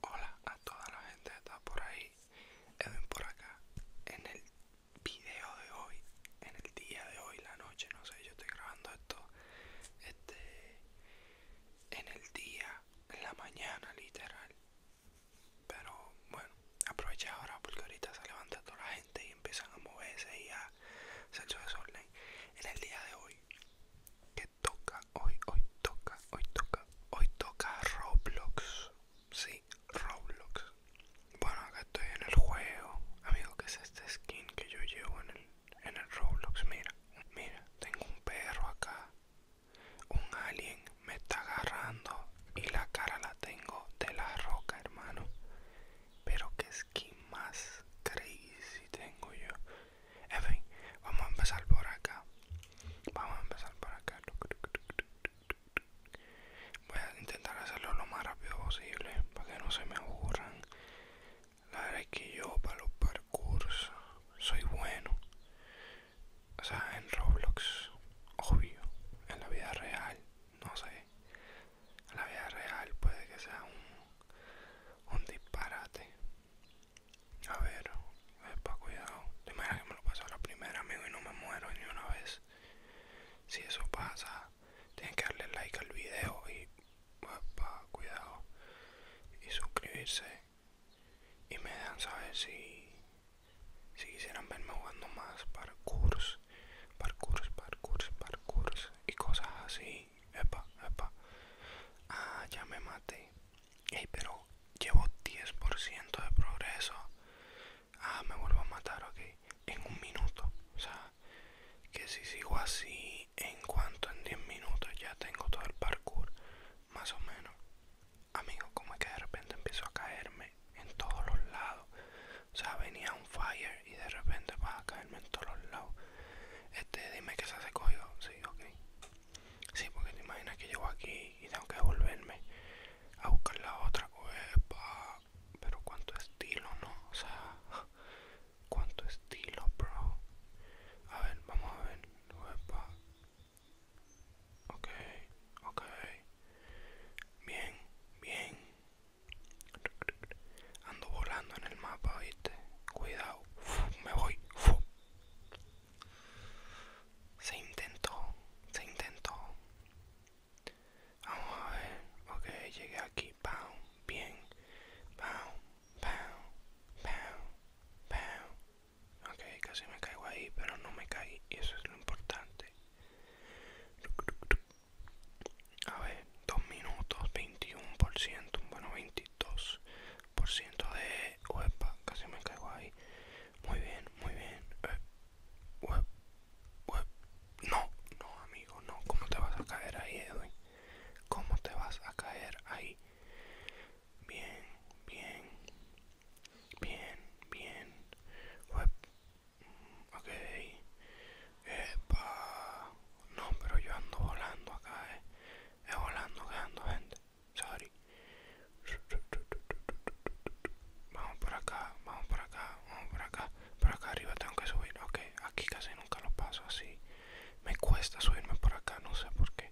Hola a toda la gente que está por ahí, Edwin por acá. En el video de hoy, en el día de hoy, la noche, no sé, yo estoy grabando esto este, en el día, en la mañana literal. Pero bueno, aprovecha ahora porque ahorita se levanta toda la gente y empiezan a moverse y en el día de hoy, que toca, hoy, hoy toca, hoy toca, hoy toca Roblox. Sí, Roblox. Bueno, acá estoy en el juego. Amigo, ¿qué es este skin que yo llevo en el, en Roblox? Mira, mira, tengo un perro acá. Un alien me está agarrando y la cara la tengo de la roca, hermano. Pero, que es ¿Qué más crazy tengo yo. En fin, vamos a empezar por acá. Vamos a empezar por acá. Voy a intentar hacerlo lo más rápido posible para que no se me aburran. La verdad es que yo para los parkours soy bueno. O sea, en Roblox, obvio, en la vida real no sé, la vida real puede que sea un, un disparate. A ver, para cuidado, de manera que me lo pasó la primera, amigo, y no me muero ni una vez. Si eso pasa, tienen que darle like al video y pues, pa cuidado y suscribirse y me dan saber si si quisieran verme jugando más parkour Parkour, parkour, parkours, y cosas así. Epa, epa. Ah, ya me maté. Ey, pero llevo 10% de progreso. Ah, me vuelvo a matar, ok. En un minuto. O sea, que si sigo así, en cuanto en 10 minutos ya tengo todo el parkour. Más o menos. Amigo, como es que de repente empiezo a caerme en todos los lados. O sea, venía un fire y de repente va a caerme en todos los lados. Este, dime que se hace coño Sí, ok. Sí, porque te imaginas que llego aquí y tengo que volverme a buscar la otra. Pero cuánto estilo, ¿no? O sea, cuánto estilo, bro. A ver, vamos a ver. Ok, ok. Bien, bien. Ando volando en el mapa, ¿viste? Cuidado. me voy. Se intentó, se intentó. Vamos a ver. Ok, llegué aquí. bien. Ok, casi me caigo ahí, pero no me caí. Y eso es lo importante. A ver, dos minutos, 21%, bueno, 22% de... webpa, casi me caigo ahí. Muy bien, muy bien. Eh, no, no, amigo, no. ¿Cómo te vas a caer ahí, Edwin? ¿Cómo te vas a caer ahí? Bien, bien. Bien, bien. Ok. No, pero yo ando volando acá, eh. Es volando que ando, gente. Sorry. Vamos por acá, vamos por acá, vamos por acá. Por acá arriba tengo que subir. Ok, aquí casi nunca lo paso así. Me cuesta subirme por acá, no sé por qué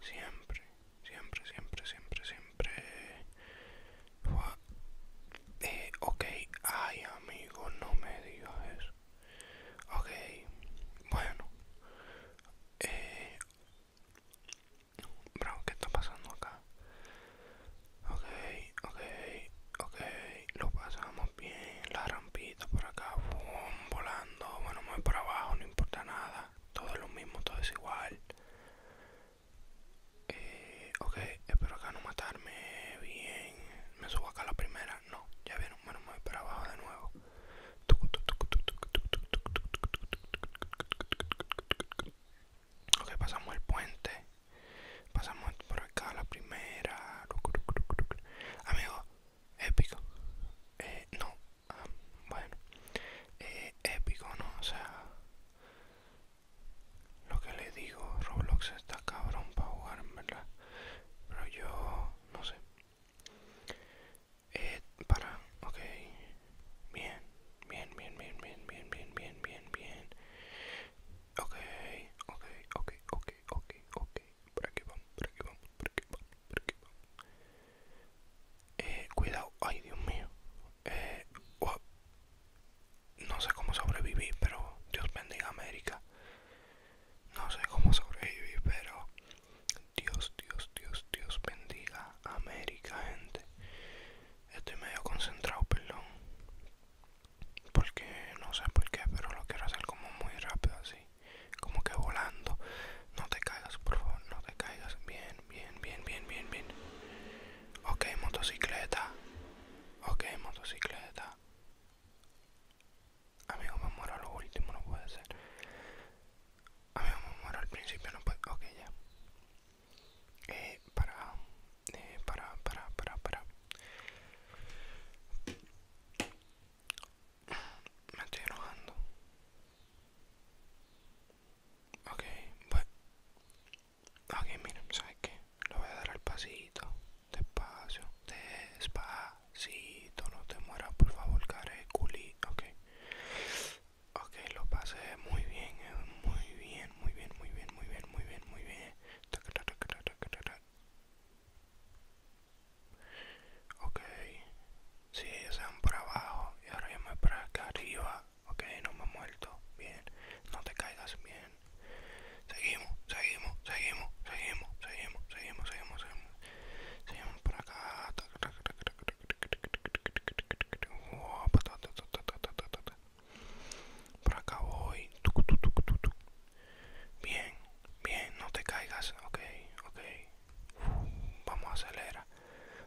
siempre, siempre, siempre, siempre, siempre. Eh, ok, ay amigo, no me digas eso. Ok, bueno. Eh, ¿qué está pasando acá? Ok, ok, ok, lo pasamos bien. La rampita por acá, volando. Bueno, muy por abajo, no importa nada. Todo es lo mismo, todo es igual ok, espero acá no matarme bien. Me subo acá a la primera. No, ya vieron. Bueno, me voy para abajo de nuevo. Ok, pasamos el puente. Pasamos por acá a la primera. Amigo, épico. no, ah, bueno eh, épico no o sea lo que le digo roblox está cabrón para jugar verdad pero yo no sé eh, para ok bien bien bien bien bien bien bien bien bien bien ok ok ok ok ok ok por aquí vamos por aquí vamos por aquí vamos por aquí vamos eh, cuidado, ay Dios mío. Eh, No sé cómo sobrevivir pero Dios bendiga América. No sé cómo sobrevivir pero Dios, Dios, Dios, Dios bendiga América, gente. Estoy medio concentrado, perdón. Porque no sé por qué, pero lo quiero hacer como muy rápido así como que volando. No te caigas, por favor, no te caigas. Bien, bien, bien, bien, bien, bien. Ok, motocicleta. Ok, motocicleta. Amigo, me muero lo último, no puede ser. Amigo, me muero al principio, no puede Ok, ya. Eh, para, eh, para, para, para, para. Me estoy enojando. Ok, bueno. Ok, miren, ¿sabes qué? Lo voy a dar al pasito. Despacio. Despacito. No te mueras, por favor, careculi. Ok. Ok, lo pasé eh. muy bien. Muy bien, muy bien, muy bien, muy bien, muy bien, muy bien ok si sí, ellos se van para abajo y ahora yo me para acá arriba ok no me ha muerto bien no te caigas bien seguimos seguimos seguimos seguimos seguimos seguimos seguimos seguimos por acá por acá voy bien bien no te caigas ok ok Vamos a acelerar.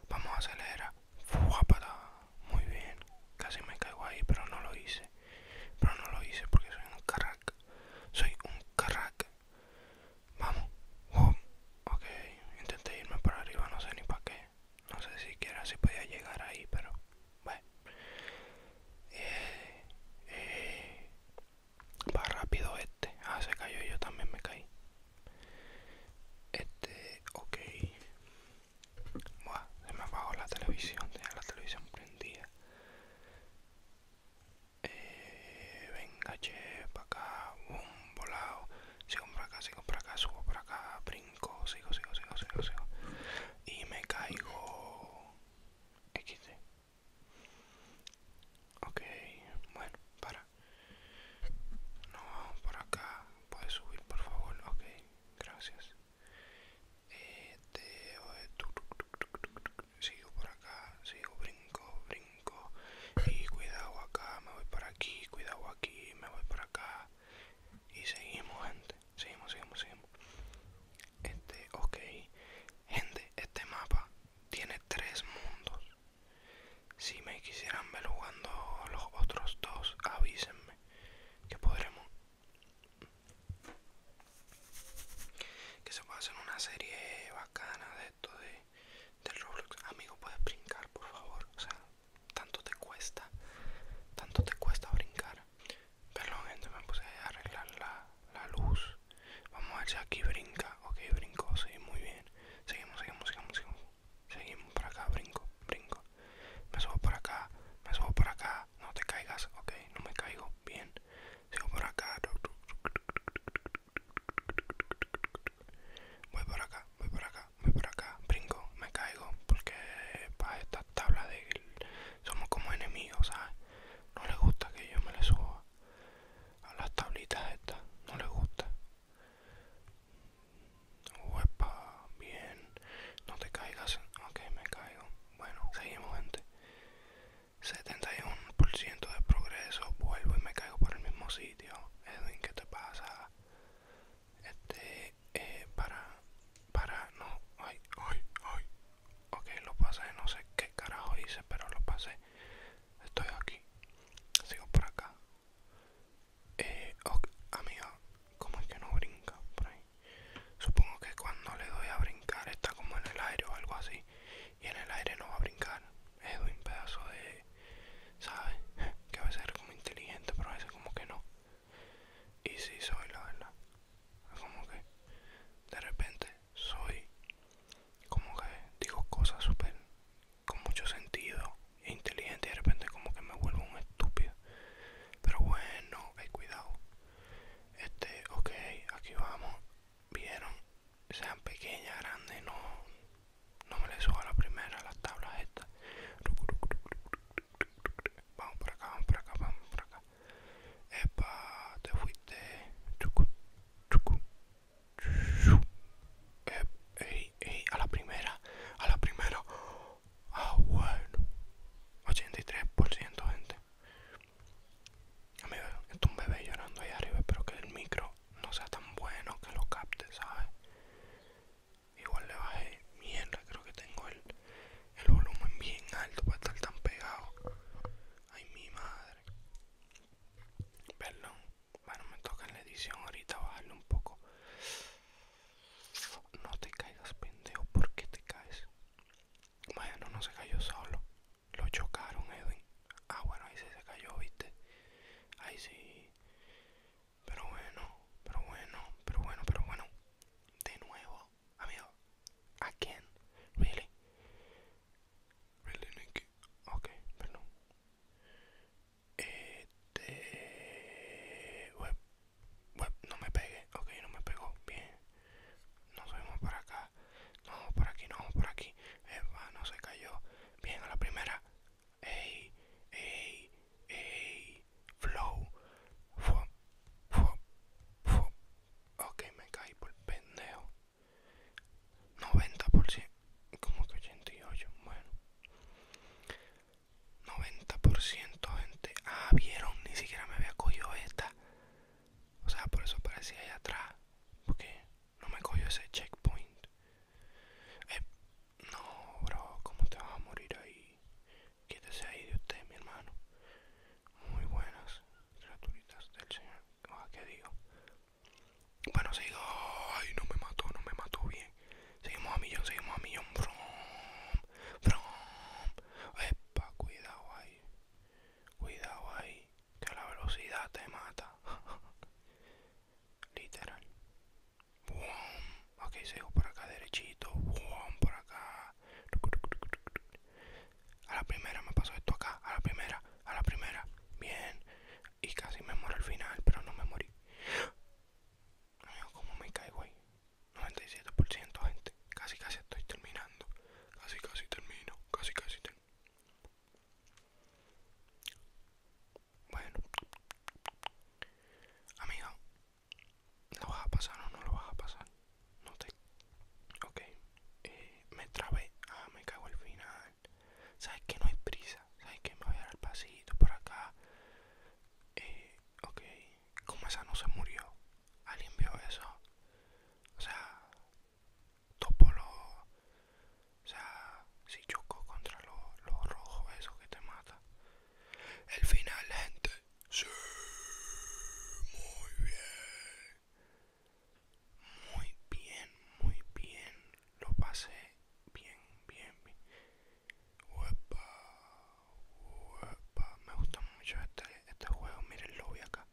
Vamos a acelerar. Muy bien. Casi me caigo ahí, pero no lo hice. Pero no lo hice porque soy un crack. Soy un crack. Vamos. ok. Intenté irme para arriba, no sé ni para qué. No sé siquiera si podía llegar ahí, pero... Bueno. Eh, eh, Va rápido este. Ah, se cayó yo también me caí. Este, ok. Buah, se me apagó la televisión. Tenía la televisión prendida. Eh, venga, che, para acá. Boom, volado. Sigo para acá, sigo para acá, subo para acá, brinco, sigo, sigo, sigo, sigo, sigo. Y me caigo. x Ok, bueno, para. No, por acá. ¿Puedes subir, por favor? Ok, gracias. Sigo por acá, sigo, brinco, brinco. Y cuidado acá, me voy por aquí, cuidado aquí, me voy por acá. Y seguimos, gente. Seguimos, seguimos, seguimos. Este, ok. Gente, este mapa tiene tres mundos. Si me quisieran ver jugando los otros dos, avísenme. Que podremos. Que se pueda hacer una serie bacana de esto de, de Roblox. Amigo, puedes brincar, por favor. O sea, tanto te cuesta. Tanto te cuesta brincar. Perdón gente, me puse a arreglar la, luz. Vamos a ver si aquí brinca. Ok, brinco, sí, muy bien. Seguimos, seguimos, seguimos, seguimos. Seguimos por acá, brinco, brinco. Me subo por acá, me subo por acá. No te caigas, ok, no me caigo. Bien. Sigo por acá. Voy por acá, voy por acá, voy por acá. Brinco, me caigo. Porque para esta tabla de, somos como enemigos, ¿sabes? No le gusta que yo me le suba a las tablitas estas, no le gusta. Huepa, pues, bien, no te caigas, ok, me caigo. Bueno, seguimos, gente. 71% de progreso, vuelvo y me caigo por el mismo sitio. Edwin, ¿qué te pasa? Este, eh, para para no ay ay ay ok lo pasé no sé qué carajo hice pero lo pasé estoy aquí sigo por acá eh, ok, amiga ¿cómo es que no brinca por ahí supongo que cuando le doy a brincar está como en el aire o algo así y en el aire no va a brincar es un pedazo de sabes que a veces es como inteligente pero a veces como que no y si soy, la verdad. Como que de repente soy como que digo cosas súper con mucho sentido e inteligente y de repente como que me vuelvo un estúpido. Pero bueno, hay eh, cuidado. Este, ok, aquí vamos. Vieron, sean pequeñas, grandes, no, no me les suba la primera, las tablas estas. Vamos por acá, vamos por acá, vamos por acá. Epa, te fuiste. a la primera, a la primera. Ah, bueno. 83%, gente. Amigo, está un bebé llorando ahí arriba. pero que el micro no sea tan bueno que lo capte, ¿sabes? Igual le bajé mierda, creo que tengo el, el volumen bien alto para estar tan pegado. Ay, mi madre. Perdón. Bueno, me toca en la edición ahorita bajarle un poco. No te caigas, pendejo. ¿Por qué te caes? Bueno, no se cayó solo. Lo chocaron, Edwin. Ah, bueno, ahí sí se cayó, viste. Ahí sí. Pero bueno, pero bueno, pero bueno, pero bueno. De nuevo, amigo. quién Really? Really, Nicky. Ok, perdón. Este... Web. Web, no me pegué. Ok, no me pegó. Bien. Nos subimos para acá. No, por aquí, no, por aquí. Eva, no se cayó. Bien, a la primera ey, ey, ey, flow, fuck, fop, fop Ok, me caí por pendejo. 90%, como que 88, bueno. 90% gente, ah, vieron, ni siquiera me había cogido esta. O sea, por eso parecía ahí atrás. Porque no me cogió ese checkpoint. Eh, no, bro, ¿cómo te vas a morir ahí? Quítese ahí de usted, mi hermano. Muy buenas criaturitas del Señor. que ah, ¿Qué digo? Bueno, sigo. Ay, no me mató, no me mató bien. Seguimos a millón, seguimos a millón. Brom, brom. Epa, cuidado ahí. Cuidado ahí. Que la velocidad te mata. Literal. Boom. Ok, sigo por acá derechito. por acá. A la primera me pasó esto acá. A la primera, a la primera. Bien. Y casi me muero al final, pero no me morí. ¿cómo me caigo ahí? 97% gente. Casi, casi estoy terminando. Casi, casi termino. Casi, casi termino. Bueno, amigo, ¿lo vas a pasar o no lo vas a pasar? No te. Ok, eh, me trabé. Ah, me cago al final. ¿Sabes que no hay prisa? ¿Sabes que me voy a dar el pasito por acá? Eh, ok, como esa no se murió, alguien vio eso. O sea, Topolo o sea, si choco contra los rojos, rojo, eso que te mata. El final, gente. Sí, muy bien. Muy bien, muy bien. Lo pasé bien, bien, bien. Uepa, huepa. Me gusta mucho este, este juego. Miren, lo vi acá.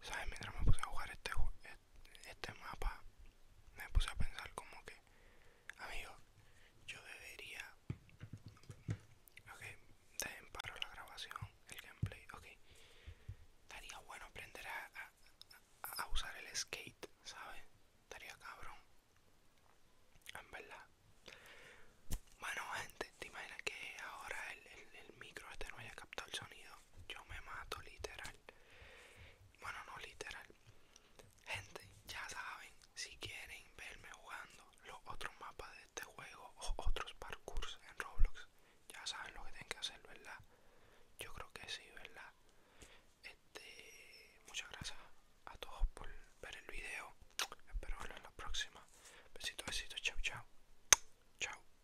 ¿Sabes? Mientras me puse a jugar este, e-, este mapa, me puse a pensar como que, amigo, yo debería... Ok, dejen paro la grabación, el gameplay, ok. Estaría bueno aprender a, usar el skate, ¿sabes? Estaría cabrón. En verdad. Bueno, gente, ¿te imaginas que ahora el micro este no haya captado el sonido? Yo me mato literal. Bueno, no literal. Gente, ya saben, si quieren verme jugando los otros mapas de este juego o otros parkours en Roblox, ya saben lo que tienen que hacer, ¿verdad? Yo creo que sí, ¿verdad? Este, muchas gracias a todos por ver el video. Espero verlos en la próxima. Besitos, besitos, chao, chao. Chao.